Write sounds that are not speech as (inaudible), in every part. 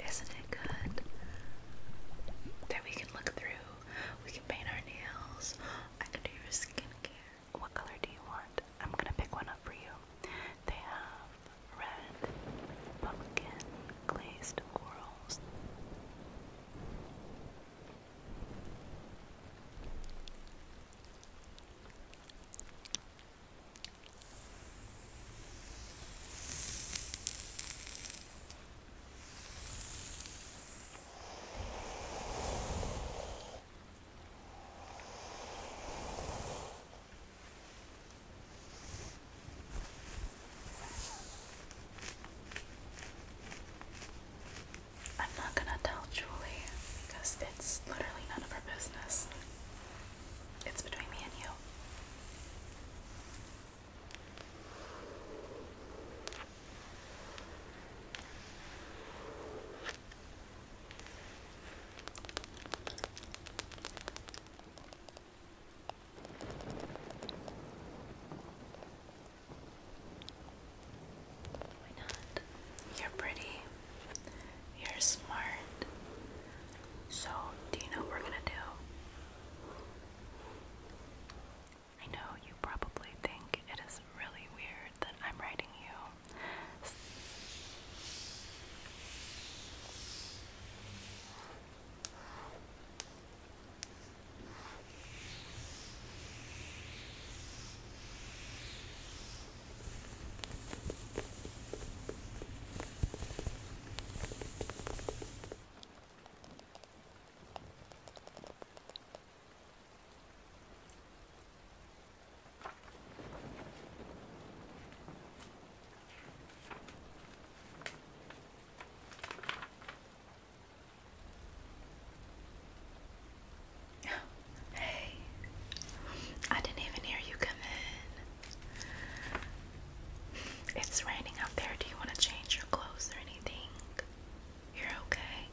Isn't it good that we can look through? We can paint our nails. I can do your skincare. What color do you want? I'm gonna pick one up for you. They have red, pumpkin, glazed corals. I'm not gonna tell Julie because it's literally none of her business. It's between me and you. Why not? You're pretty. You're smart. So, do you know what we're gonna do? I know you probably think it is really weird that I'm writing you. (sighs) Hey, I didn't even hear you come in. It's raining out there. Do you want to change your clothes or anything? You're okay.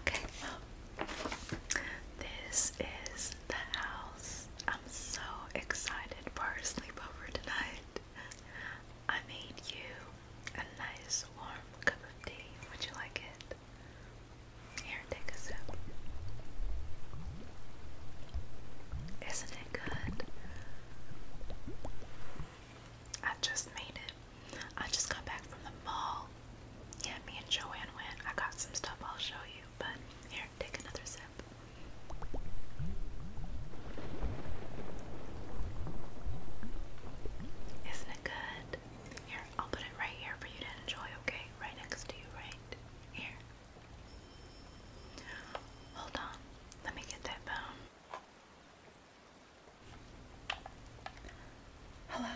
Okay, this is the house. I'm so excited for sleepover tonight. I made you a nice warm cup of tea. Would you like it? Here, take a sip. Isn't it good? I just made it. I just got back from the mall. Yeah, me and Joanne went. I got some stuff I'll show you, but here, take another sip. Isn't it good? Here, I'll put it right here for you to enjoy, okay? Right next to you, right? Here. Hold on, let me get that phone. Hello?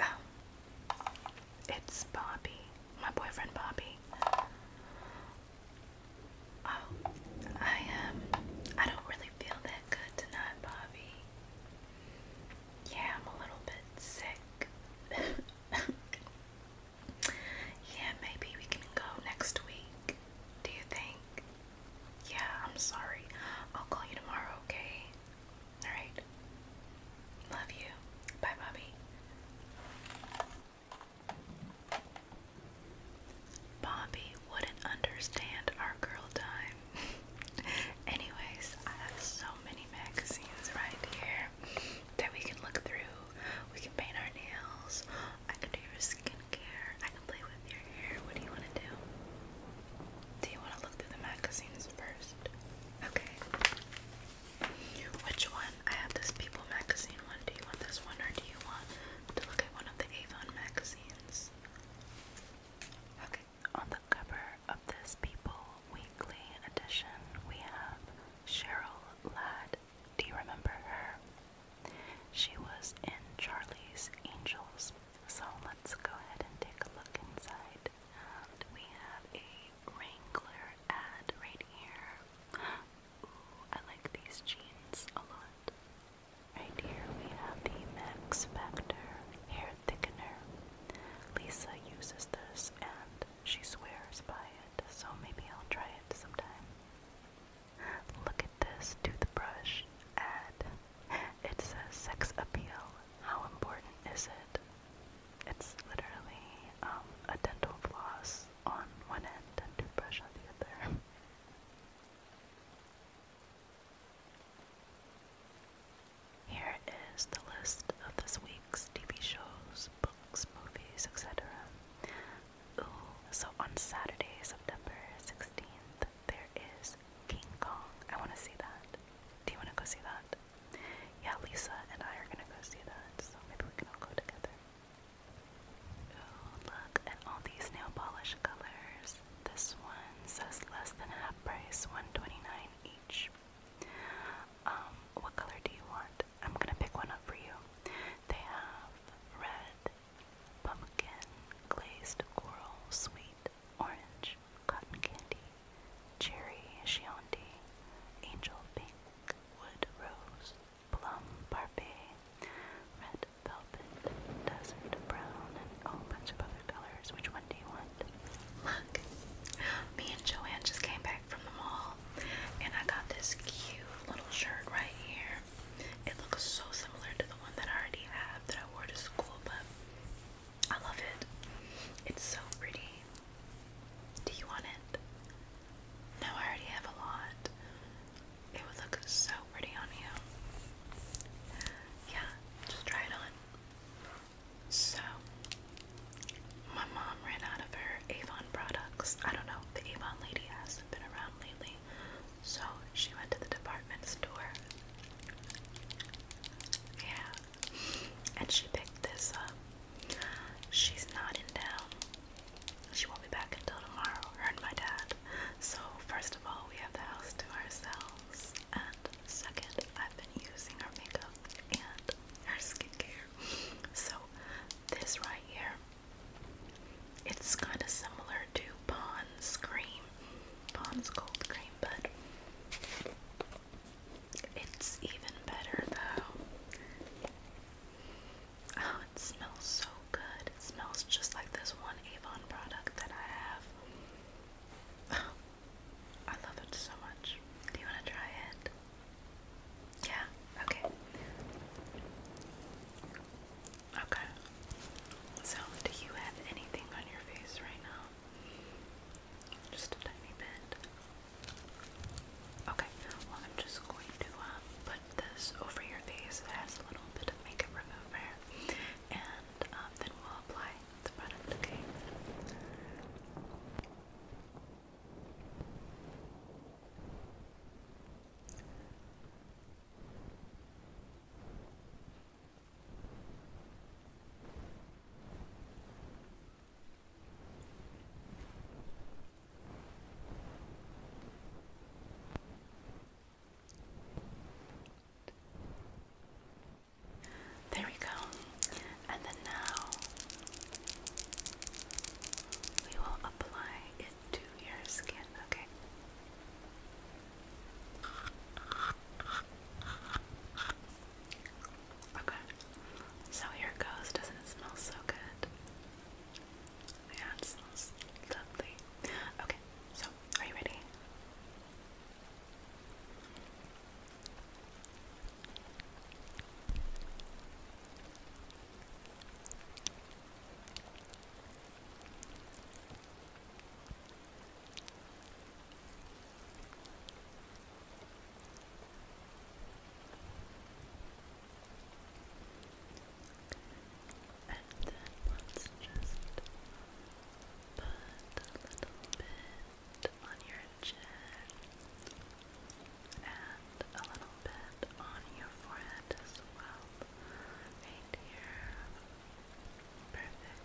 Oh, it's Bobby, my boyfriend Bobby. Oh, I um, I don't really feel that good tonight, Bobby. Yeah, I'm a little bit sick. (laughs) yeah, maybe we can go next week. Do you think? Yeah, I'm sorry. I'll call you tomorrow, okay? Alright. Love you. Bye, Bobby. Bobby wouldn't understand our girl time. (laughs) Anyways, I have so many magazines right here that we can look through. We can paint our nails. I can do your skincare. I can play with your hair. What do you want to do? Do you want to look through the magazines first? Okay. Which one? I have this People magazine one. Do you want this one or do you want to look at one of the Avon magazines? Okay, on the cover of this People Weekly edition, we have Cheryl Ladd. Do you remember her? She was in Charlie's Angels. So let's go ahead and take a look inside. And we have a Wrangler ad right here. (gasps) Ooh, I like these jeans a lot. Right here we have the Max Factor Hair Thickener. Lisa uses this and she swears by it, so maybe I'll try it sometime. Look at this toothbrush ad. It says sex appeal. How important is it? It's literally um, a dental floss on one end and toothbrush on the other. (laughs) Here is the list of this week's TV shows, books, movies, etc. Ooh, so on Saturday, September 16th, there is King Kong. I want to see that. Do you want to go see that? Yeah, Lisa and I are going to go see that, so maybe we can go together. Ooh, look at all these nail polish colors. This one says less than half price, 129 each. Um, what color do you want? I'm gonna pick one up for you. They have red, pumpkin, glazed coral, sweet, orange, cotton candy, cherry, chianti, angel pink, wood rose, plum parfait, red velvet, desert brown, and a whole bunch of other colors. Which one do you want? Look, me and Joanne just came back from the mall and I got this cute little shirt right here. It looks so similar to the one that I already have that I wore to school, but I love it. It's so pretty. Do you want it? No, I already have a lot. It would look so pretty on you. Yeah, just try it on. So, my mom ran out of her Avon products. I don't know, the Avon lady hasn't been around lately. So, she went to the department store. Yeah. And she picked this up. She's nodding down. She won't be back until tomorrow, her and my dad. So, first of all, we have the house to ourselves. And second, I've been using her makeup and her skincare. So this right here, it's kind of similar to Pond's cream, Pond's cold cream, but it's even better though. Oh, it smells so good. smells just like this one Avon product that I have. Oh, I love it so much. Do you want to try it? Yeah, okay. Okay. So, do you have anything on your face right now? Just a tiny bit. Okay, well, I'm just going to uh, put this over your face. It a little bit of makeup remover. And um, then we'll apply the product, okay? There we go. And then now we will apply it to your skin, okay? Okay. So here it goes. Doesn't it smell so good? it smells lovely. Okay, so are you ready? And then let's just put a little bit on your chin and a little bit on your forehead as well. Right here. Perfect.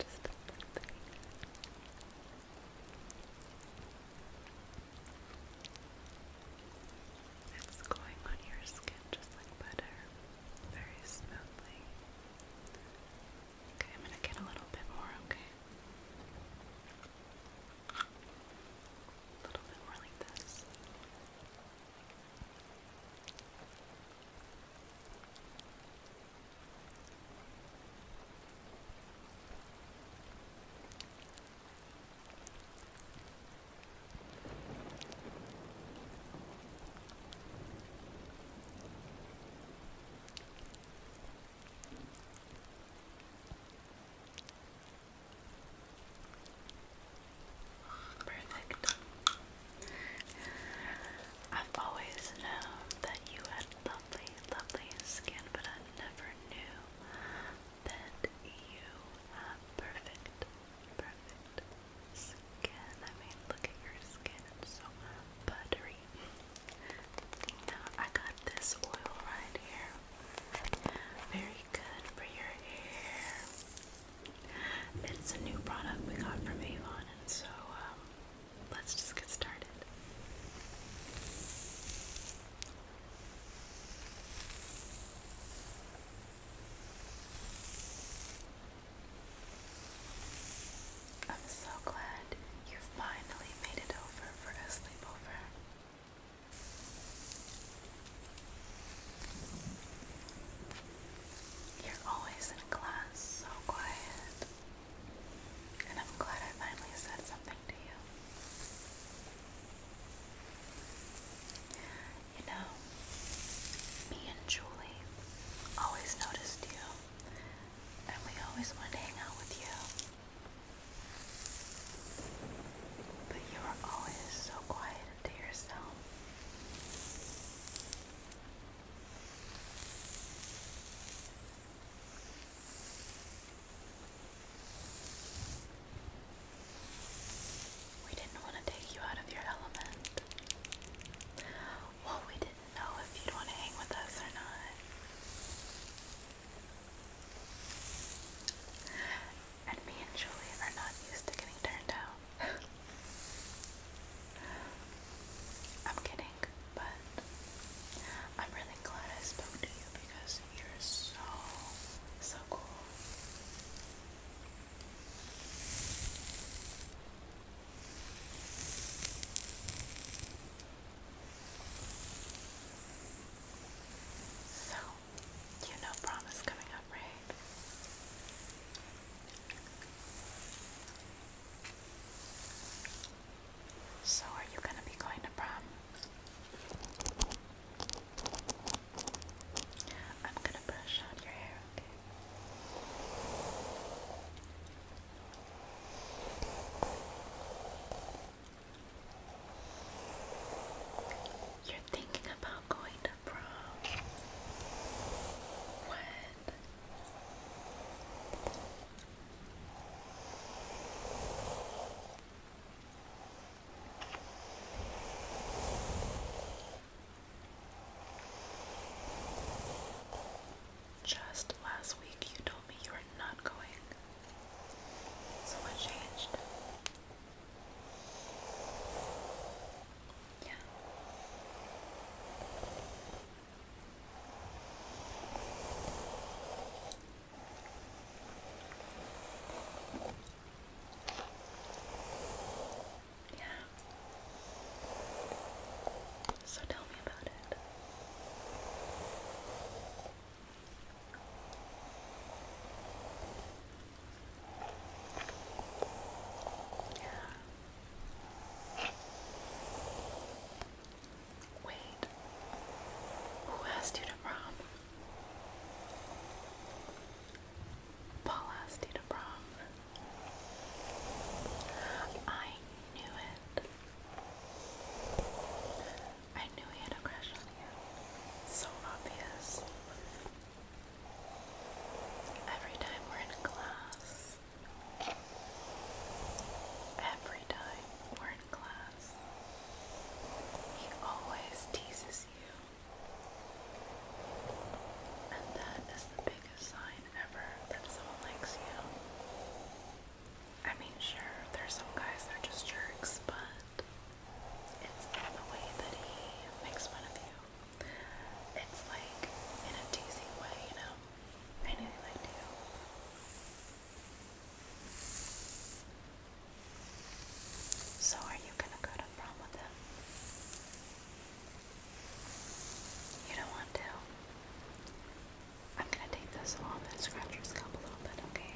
Just a It's going on your skin just like butter, very smoothly. Okay, I'm gonna get a little bit more, okay? A little bit more like this. Perfect. I've always known that you had lovely, lovely skin, but I never knew that you have perfect, perfect skin skin. I mean, look at your skin. It's so buttery. I got this oil right here. Very good for your hair. It's a new product we got from Avon, and so um, let's just get started. I'm so glad you finally made it over for a sleepover. You're always in class, so quiet. And I'm glad I finally said something to you. You know, me and Julie always noticed you and we always wanted to hang out with you. But you were always so quiet and to yourself. We didn't want to take you out of your element. Well, we didn't know if you'd want to hang with us or not. And me and Julie are not used to getting turned down. (laughs) I'm kidding, but I'm really glad I spoke to you because you're so, so cool. So, you know prom is coming up, right? So, are you going to be going to prom? I'm going to brush out your hair, you're thinking about going to prom. When? Just last week you told me you were not going. So what changed? Yeah. So tell me about it. Wait. Who asked you to prom? Paul asked you to prom. I knew it. I knew he had a crush on you. So obvious. Every time we're in class. Every time we're in class. He always teases you. And that is the biggest sign ever that someone likes you. I mean, sure, there's some guys that are just jerks, but it's the way that he makes fun of you. It's like in a teasing way, you know? I knew you So, are you gonna go to prom with him? You don't want to? I'm gonna take this off and scratch your scalp a little bit, okay?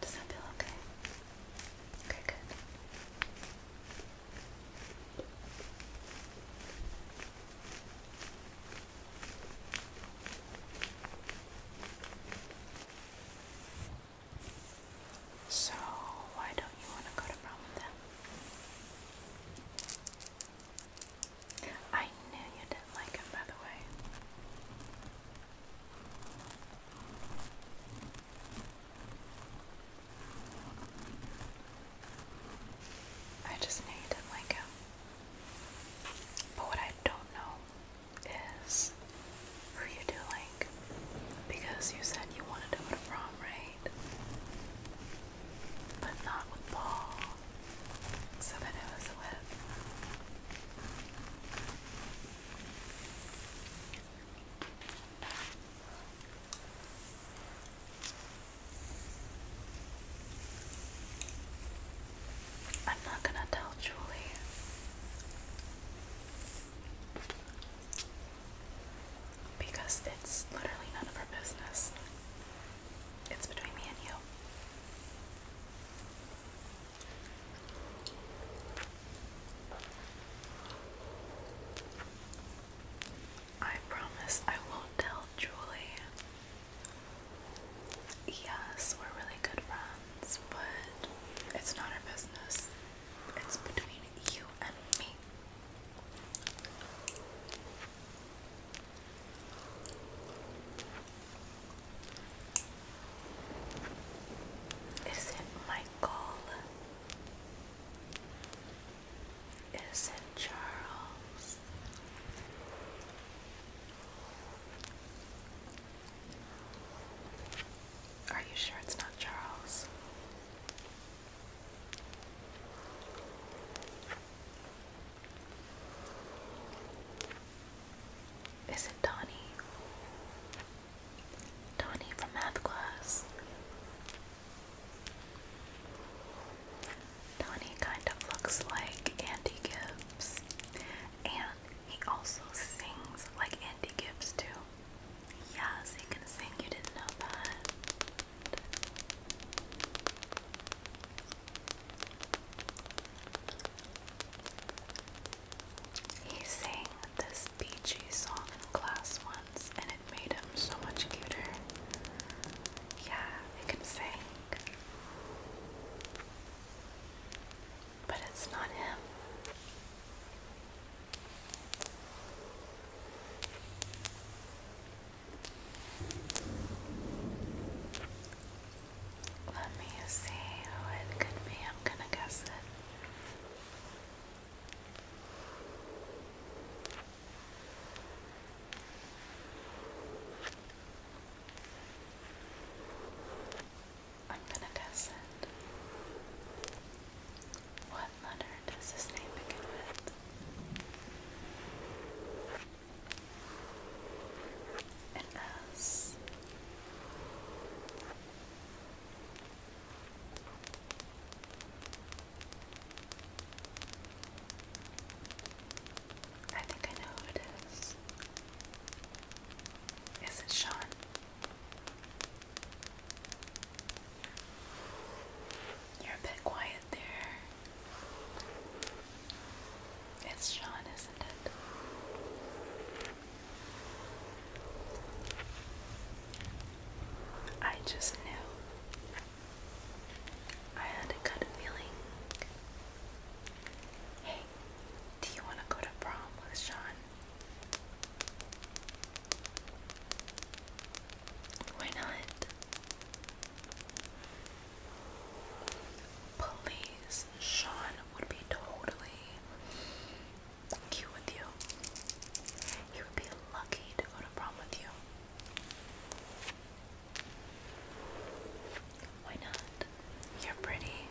Does that feel okay? Okay, good. So, why don't you want to go to prom with them? I knew you didn't like him, by the way. I just need like him. But what I don't know is who you do like. Because you said you wanted to go to prom, right? But not with Paul. So then it was with I'm not going to tell Julie. Because it's literally none of her business. It's between me and you. I promise I will tell Julie. Yes, we're really good friends, but it's not our business. It's between you and me. Is it Michael? Is it Charles? Are you sure it's not Charles? Is it Donnie? Tony from math class. Tony kind of looks like Andy Gibbs, and he also sings like Andy Gibbs too. Yes, he can sing. You didn't know that. He sang this beachy song in class once and it made him so much cuter. Yeah, he can sing. But it's not him. Let me see who it could be. I'm gonna guess it. I'm gonna guess it. What letter does his name begin with? An S. I think I know who it is. Is it Sean? You're a bit quiet there. It's Sean, isn't it? I just knew I had a good feeling. Hey, do you want to go to prom with Sean? Why not? Please, Sean would be totally cute with you. He would be lucky to go to prom with you. Why not? You're pretty.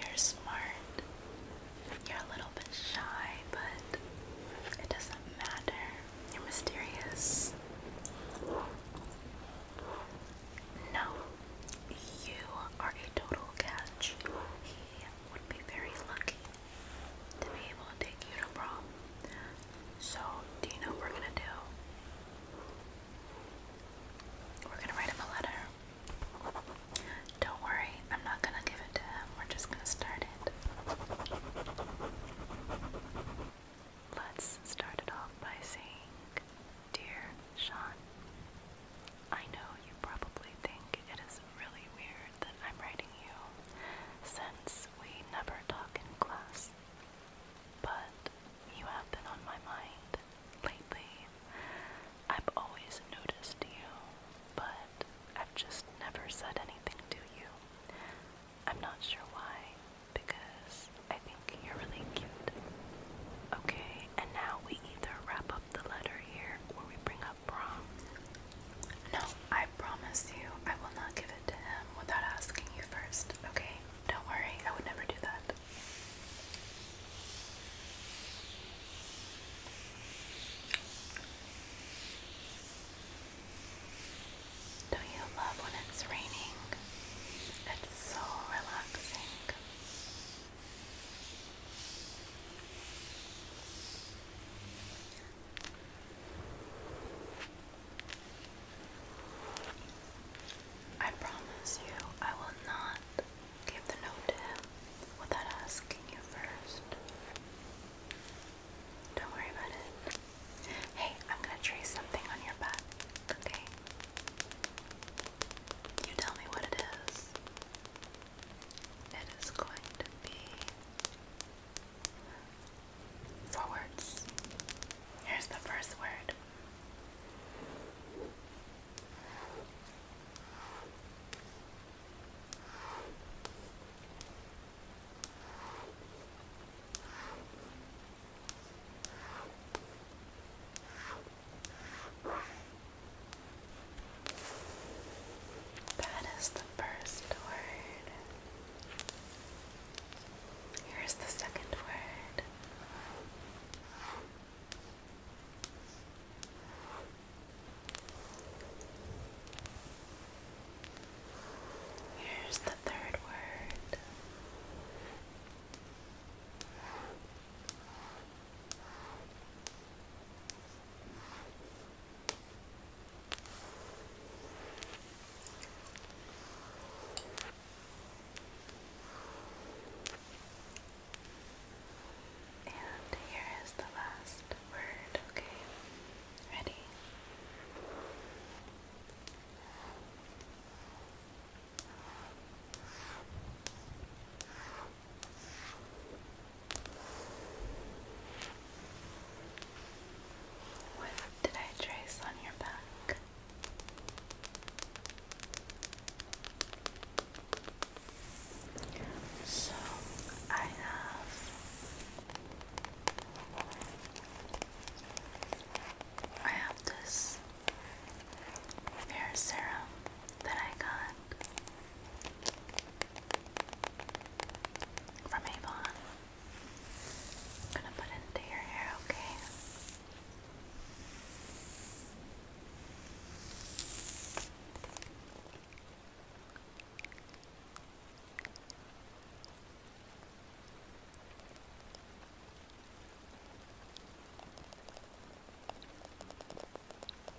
You're smart. You're a little bit shy, but it doesn't matter. You're mysterious. No, you are a total catch. He would be very lucky to be able to take you to So, do you know what we're gonna do? We're gonna write him a letter. Don't worry, I'm not gonna give it to him. We're just gonna start it. Let's start it off by saying Dear Sean, I know you probably think it is really weird that I'm writing you since we never talk in class, but you have been on my mind lately. I've always noticed you, but I've just never said anything to you. I'm not sure why, because I think you're really cute. Okay, and now we either wrap up the letter here where we bring up prom. No, I promise you I will not give it to him without asking you first, okay? Don't worry, I would never do that. Don't you love when it's raining? It's so relaxing. I promise you, I will not give the note to without asking you first. Don't worry about it. Hey, I'm gonna trace something on your butt. okay? You tell me what it is. It is going to be four words. Here's the first word. That is the first word. Here's the second word. Here's the third word. And here is the last word, okay? Ready? What did I trace on your back? So I have I have this serum that I got from Avon. I'm gonna put it into your hair, okay?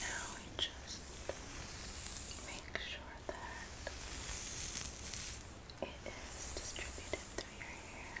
Now we just make sure that it is distributed through your hair.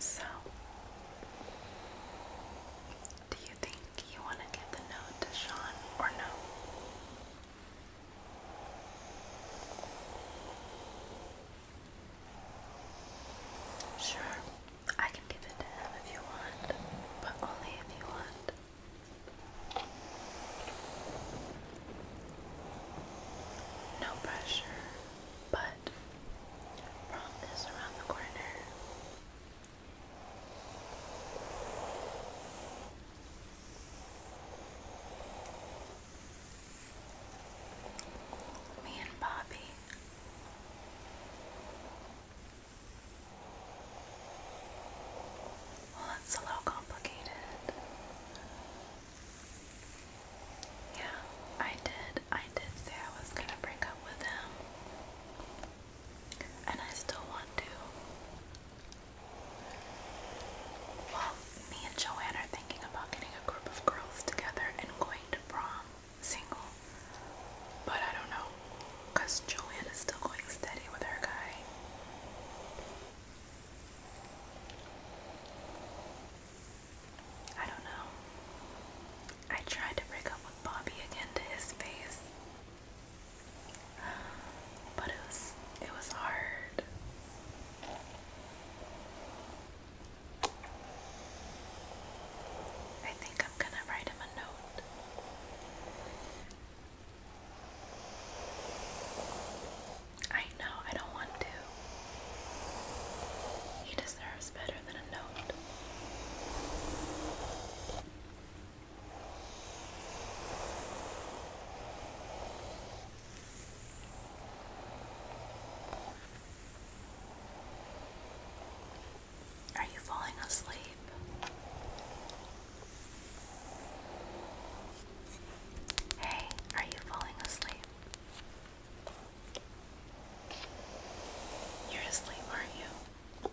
So, do you think you want to give the note to Sean or no? Sure, I can give it to him if you want, but only if you want. No pressure, but prom around the corner. Me and Bobby. Well, that's a little complicated. Yeah, I did. I did say I was gonna break up with him, and I still want to. Well, me and Joanna thinking about getting a group of girls together and going to prom single. But I don't know, because Joanne is still going steady with her guy. I don't know. I tried to break up with Bobby again to his face. But it was it was hard. I think I'm gonna write him a note. I know I don't want to. He deserves better than a note. Are you falling asleep? Hey, are you falling asleep? You're asleep, aren't you are asleep are you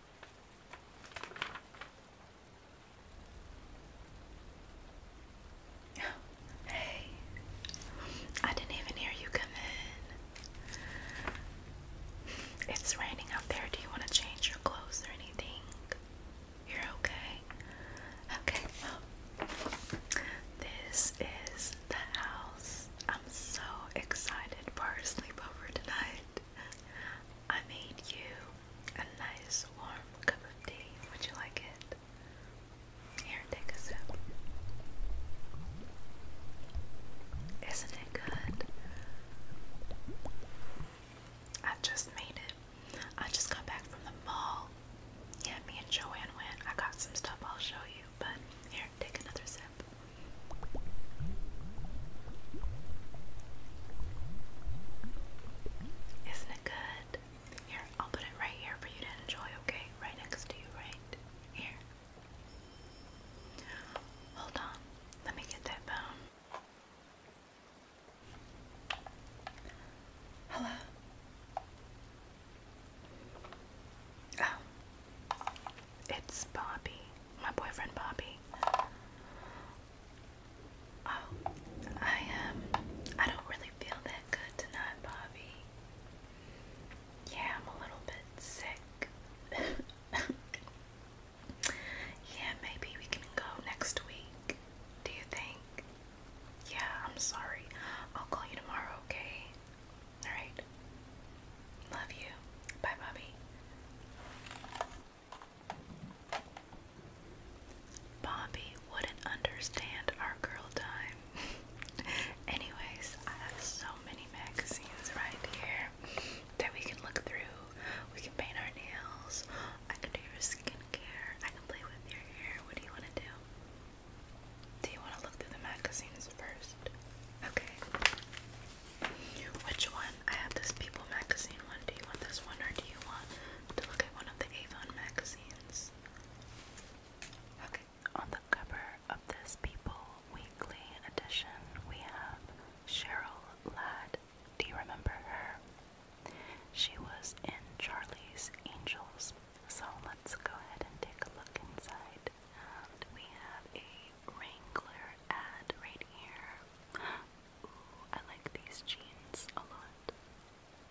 (sighs) Hey, I didn't even hear you come in. It's raining out there. Do you want to change your clothes or anything? You're okay. Okay, this is the house. I'm so excited for a sleepover tonight. I made you a nice warm cup of tea. Would you like it? Here, take a sip. Isn't it good? I just made it. I just got back from the mall. Yeah, me and Joanne went. I got some stuff I'll show you, but here, take another sip. Isn't it good? I'll put it right here for you to enjoy, okay? Right next to you, right here. Hold on, let me get that bone. Hello. Oh. It's Bobby, my boyfriend Bobby. Oh, I um, I don't really feel that good tonight, Bobby. Yeah, I'm a little bit sick. (laughs) yeah, maybe we can go next week. Do you think? Yeah, I'm sorry. I'll call you tomorrow, okay? Alright. Love you. Bye, Bobby. Bobby wouldn't understand our girl time. (laughs) Anyways, I have so many magazines right here that we can look through. We can paint our nails. I can do your skincare. I can play with your hair. What do you want to do? Do you want to look through the magazines first? Okay. Which one? I have this People magazine one. Do you want this one or do you want to look at one of the Avon magazines? Okay, on the cover of this People Weekly edition, we have Cheryl Ladd. Do you remember her? She was in Charlie's Angels. So let's go ahead and take a look inside. And we have a Wrangler ad right here. I like these jeans a lot.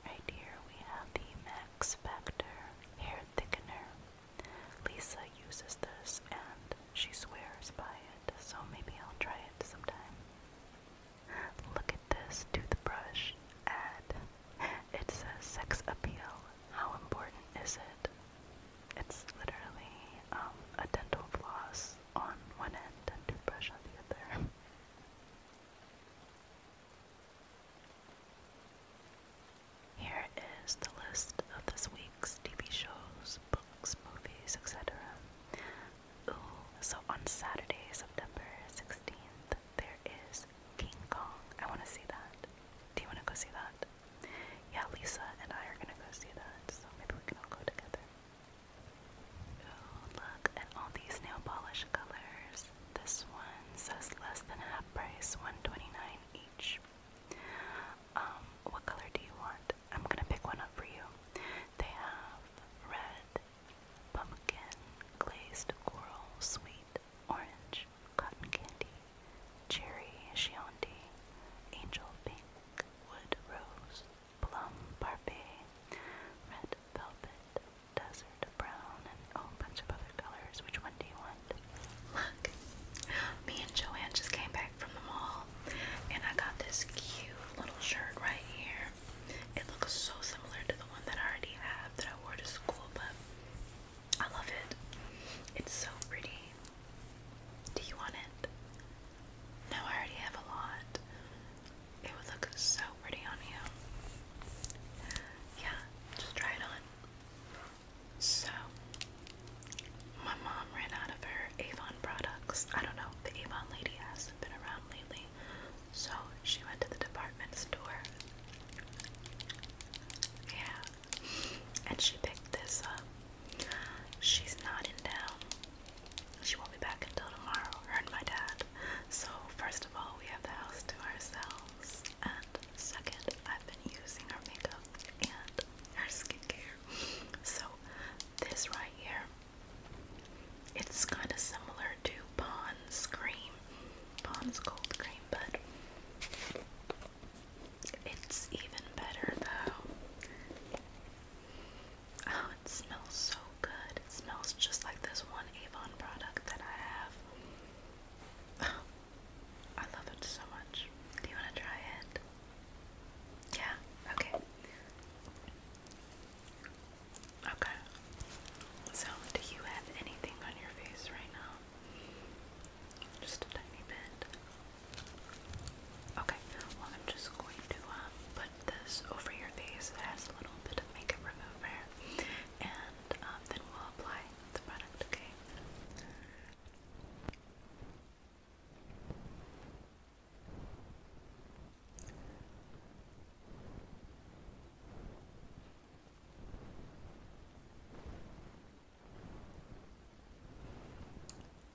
Right here we have the Max Factor hair thickener. Lisa uses this and she swears by it, so maybe I'll try it sometime. Look at this toothbrush ad. It says sex appeal. How important is it? It's literally um, a dental floss on one end and toothbrush on the other. Here is the list of this week's TV shows, books, movies, etc. Ooh, so on Saturday, September 16th, there is King Kong. I want to see that. Do you want to go see that? Yeah, Lisa and I are going to go see that, so maybe we can all go together look at all these nail polish colors. This one says less than half price, 129 each. Um, what color do you want? I'm gonna pick one up for you. They have red, pumpkin, glazed coral, sweet, orange, cotton candy, cherry, chianti, angel pink, wood rose, plum parfait, red velvet, desert brown, and a whole bunch of other colors. Which one do you want? Look, me and Joanne just came back from the mall, and I got this cute little shirt right here. It looks so similar to the one that I already have that I wore to school, but I love it. It's so pretty. Do you want it? No, I already have a lot. It would look so pretty on you. Yeah, just try it on. So, my mom ran out of her Avon products. I don't know, the Avon lady hasn't been around lately. So, she went to the department store. Yeah. And she picked this up. She's not in town. She won't be back until tomorrow, her and my dad. So, first of all, we have the house to ourselves. And second, I've been using her makeup and her skincare. So, this right here, it's kind of similar to Pond's cream, Pond's cold cream, but it's even better though. Oh, it smells so good. It smells just like this one Avon product that I have. Oh, I love it so much. Do you want to try it? Yeah, okay. Okay. So, do you have anything on your face right now? Just a tiny bit. Okay, well, I'm just going to um, put this over your face. It has a little bit of makeup remover, and um, then we'll apply the product, okay?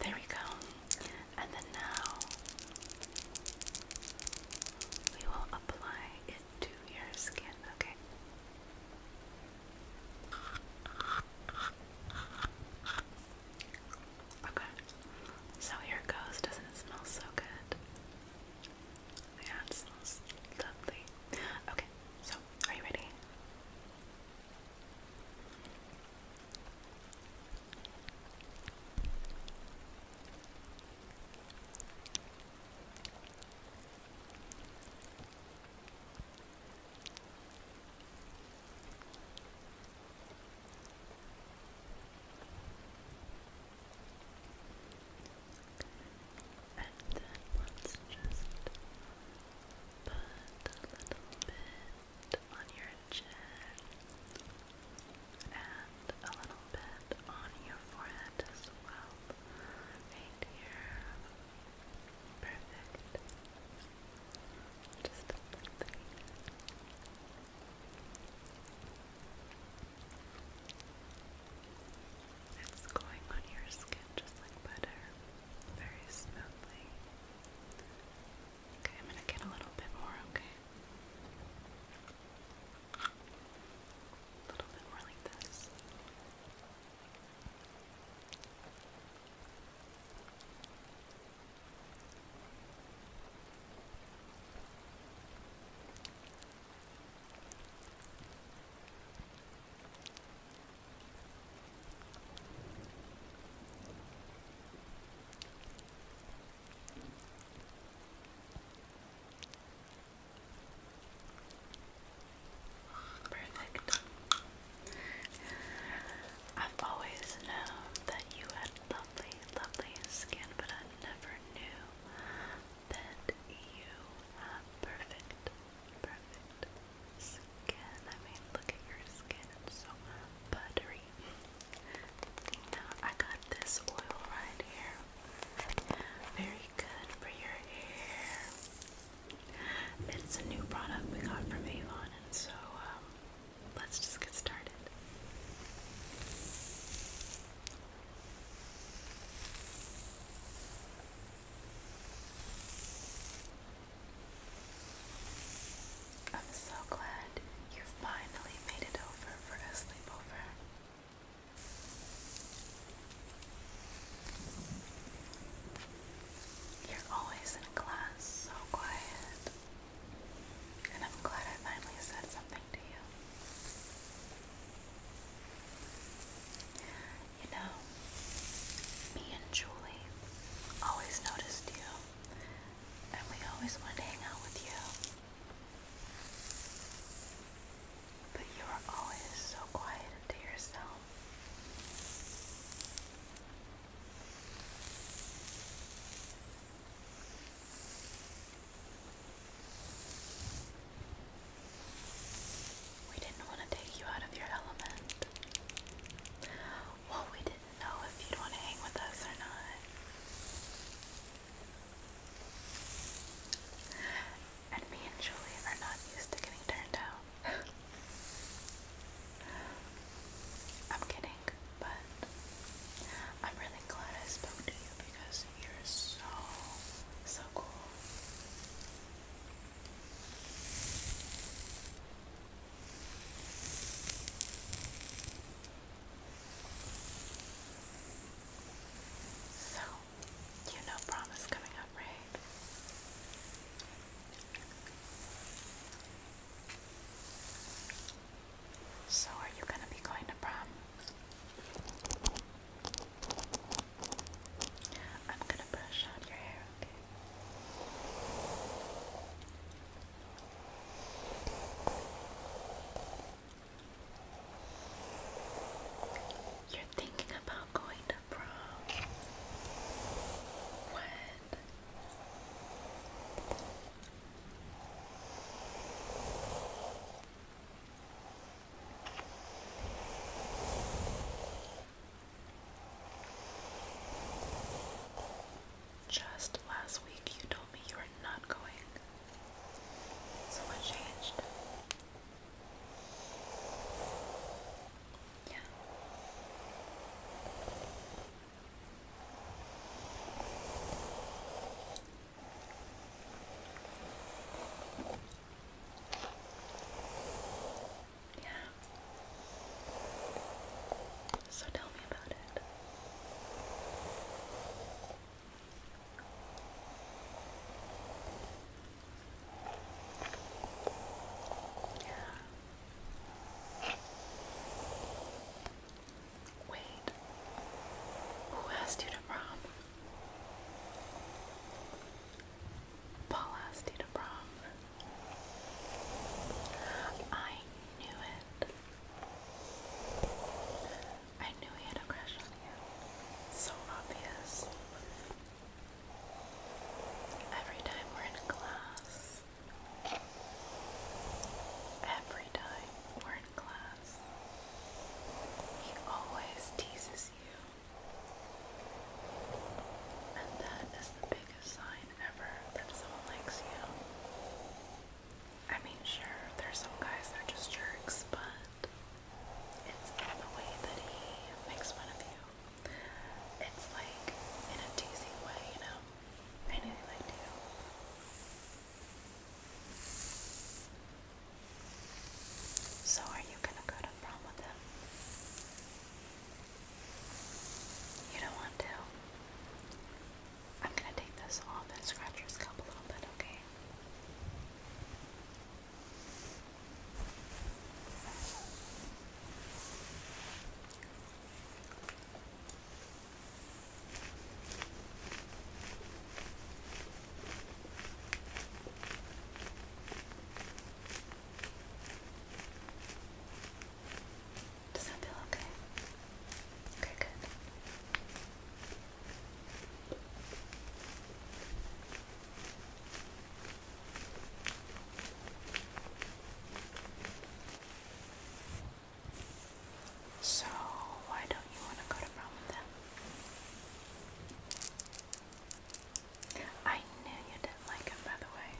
There we go. And then now we will apply it to your skin, okay? Okay. So here it goes. Doesn't it smell so good? Yeah, it smells lovely. Okay, so so, are you ready? And then let's just put a little bit on your chin and a little bit on your forehead as well. Right here. Perfect. Just a little It's going on your skin just like butter very smoothly. Okay, I'm gonna get a little bit more, okay? A little bit more like this. Okay, Perfect. I've always known that you had lovely, lovely skin, but I never knew that you had perfect Perfect skin. I mean, look at your skin. It's so buttery. Now, I got this oil right here. Very good for your hair. It's a new product we got from Avon, and so um, let's just get started. I'm so glad you finally made it over for a sleepover. You're always in class, so quiet. And I'm glad I finally said something to you. You know, me and Julie always noticed you, and we always wanted to hang out with you. But you were always so quiet and to yourself. We didn't want to take you out of your element. Well, we didn't know if you'd want to hang with us or not. And me and Julie are not used to getting turned down. (laughs) I'm kidding, but I'm really glad I spoke to you because you're so, so cool. So, you know prom is coming up, right? So, are you going to be going to prom? I'm gonna brush out your hair, okay? You're thinking about going to prom. When? Just last week you told me you were not going. So what changed? Yeah. Yeah. So tell me about it. Wait. Who asked you to prom? Paul asked you to prom. I knew it. I knew he had a crush on you. So obvious. Every time we're in class. Every time we're in class. He always teases you. And that is the biggest sign ever that someone likes you. I mean, sure, there's some guys that are just jerks, but it's the way that he makes fun of you. It's like in a teasing way, you know? I knew you So, are you gonna go to prom with him? You don't want to? I'm gonna take this off and scratch your scalp a little bit, okay? Okay. Does that feel okay? Okay, good. So, why don't you want to go to prom with them? I knew you didn't like him, by the way.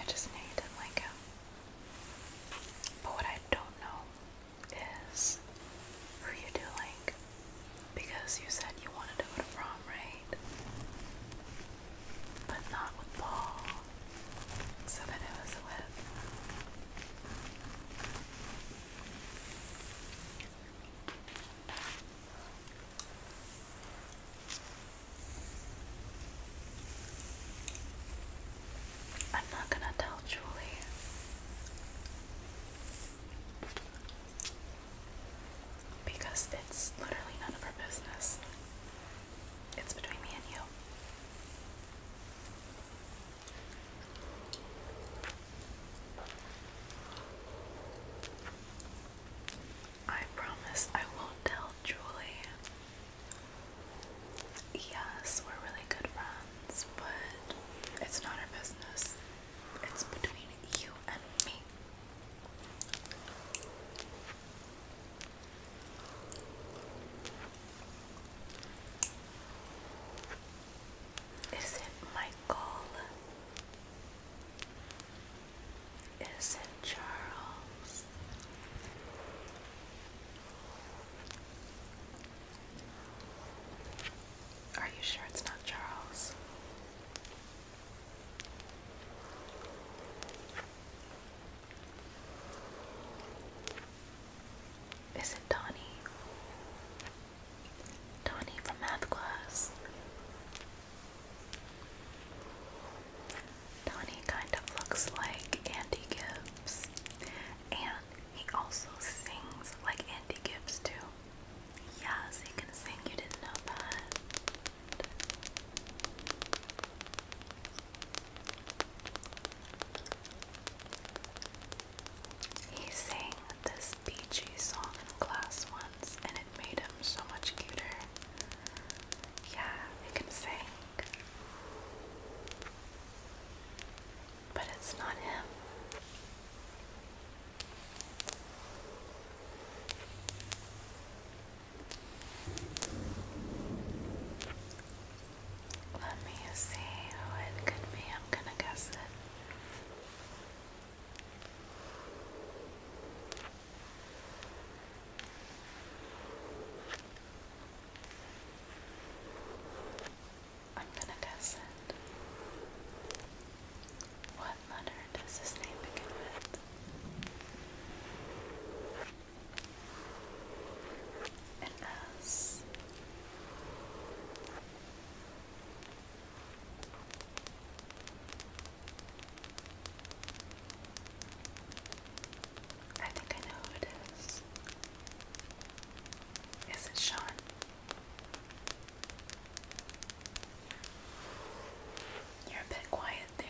I just knew you didn't like him. But what I don't know is who you do like. Because you said you wanted to go to prom, right? But not with Paul so that it was wet. I'm not gonna tell Julie. Because it's literally none of her business. It's between me and you. I promise I won't tell Julie. Yes, we're really good friends, but it's not our business. It's between you and me. Is it Michael? Is it Charles? Are you sure it's not Charles? Is it Donnie? Donnie from math class. Donnie kind of looks like Andy Gibbs, and he also sings like Andy Gibbs, too. Yes, he can sing, you didn't know that. He sang this beachy song in class once and it made him so much cuter. Yeah, he can sing. But it's not him. Let me see who it could be. I'm gonna guess it. I'm gonna guess it. What letter does his name begin with? and us. think I know who it is. Is it Sean? You're a bit quiet there.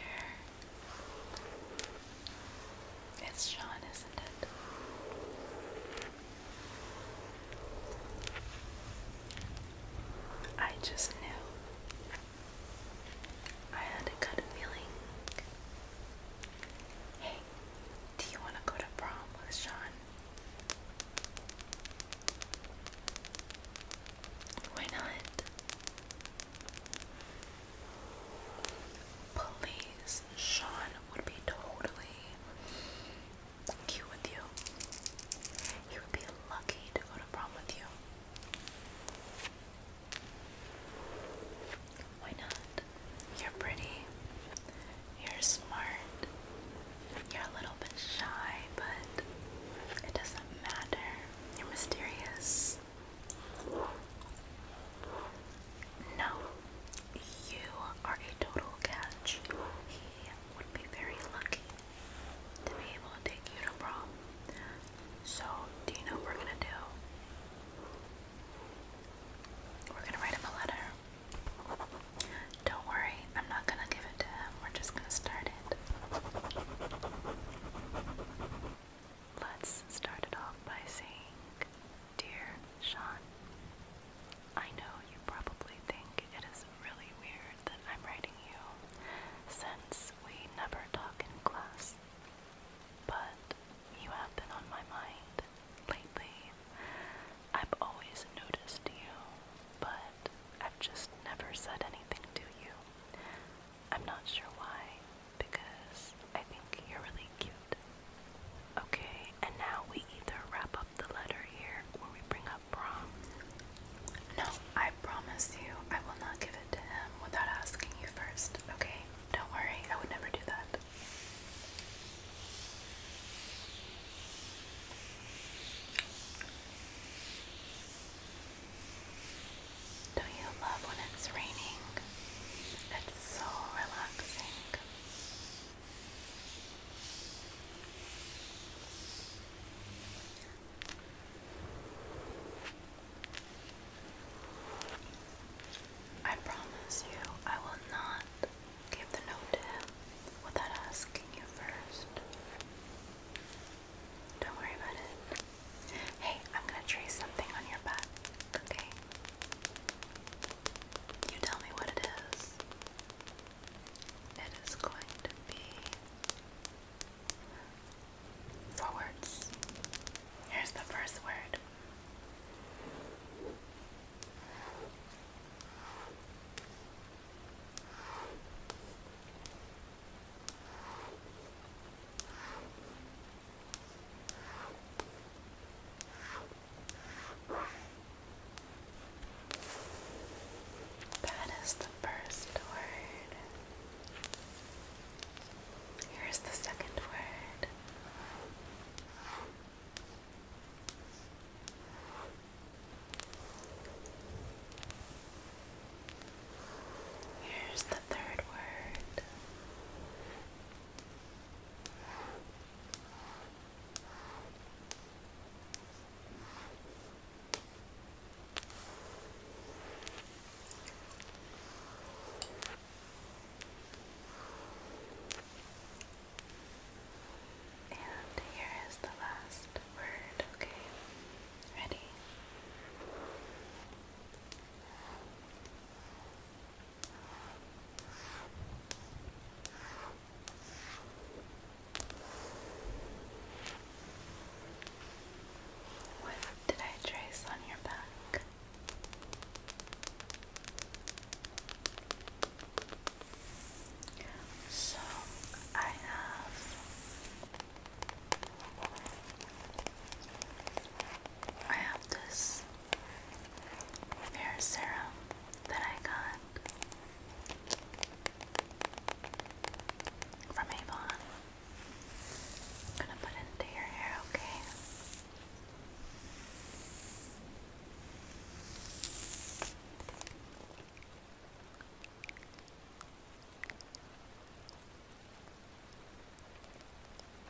It's Sean, isn't it? I just knew. I had a good feeling. Hey, do you want to go to prom with Sean? Why not? Please, Sean would be totally cute with you. He would be lucky to go to prom with you. Why not? You're pretty. You're smart. You're a little bit shy, but it doesn't matter. You're mysterious. No, you are a total catch. He would be very lucky to be able to take you to prom. So, do you know what we're gonna do? We're gonna write him a letter. Don't worry, I'm not gonna give it to him. We're just gonna start it. Let's start it off by saying, Dear Sean, I know you probably think it is really weird that I'm writing you since we never talk in class, but you have been on my mind lately. I've always noticed you, but I've just never said anything to you. I'm not sure why, because I think you're really cute. Okay, and now we either wrap up the letter here or we bring up prom. No, I promise you I will not give it to him without asking you first, okay? Don't worry, I would never do that. Don't you love when it's raining? It's so relaxing. I promise you, I will not give the note to him without asking you first. Don't worry about it. Hey, I'm gonna trace something on your back, okay? You tell me what it is. It is going to be four words. Here's the first word. That is the first word. Here's the second word. Here's the third word. And here is the last word, okay? Ready? What did I trace on your back? So I have I have this hair serum that I got from Avon. I'm gonna put into your hair, okay?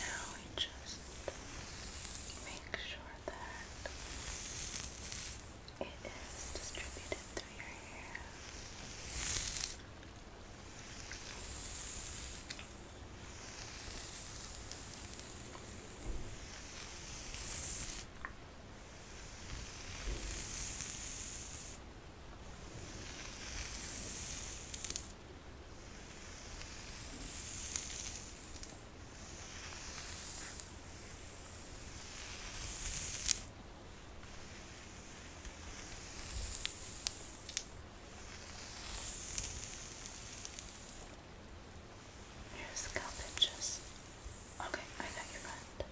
Now we just make sure that it is distributed through your hair. Your scalp itches. Okay, I got your butt.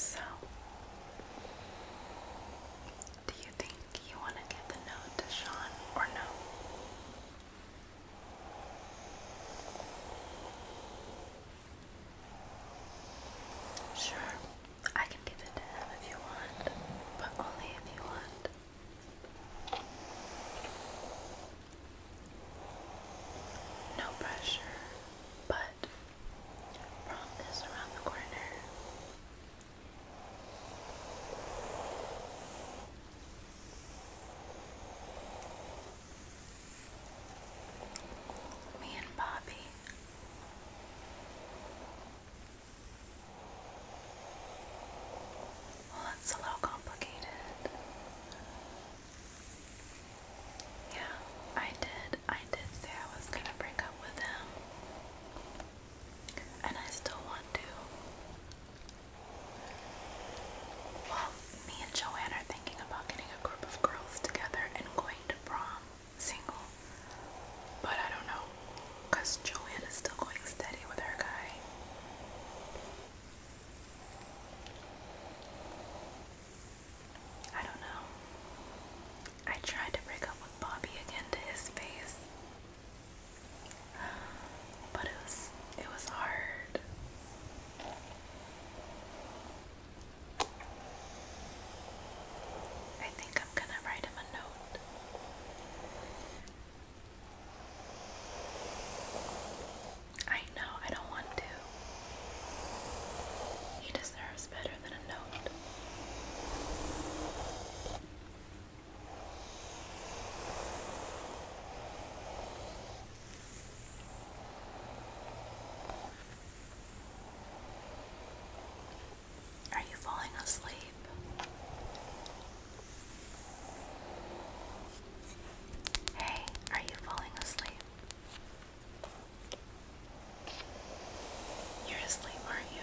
So, do you think you want to give the note to Sean or no? Sure, I can give it to him if you want, but only if you want. No pressure, but prom is around the corner. Me and Bobby. Well, it's a little complicated. Yeah, I did. I did say I was gonna break up with him. And I still want to. Well, me and Joanne are thinking about getting a group of girls together and going to prom single. But I don't know, because Joanne is still going steady with her guy. I don't know. I tried to break up with Bobby again to his face. But it was it was hard. I think I'm going to write him a note. I know, I don't want to. He deserves better than a note. Are you falling asleep? Hey, are you falling asleep? You're asleep, aren't you are asleep are you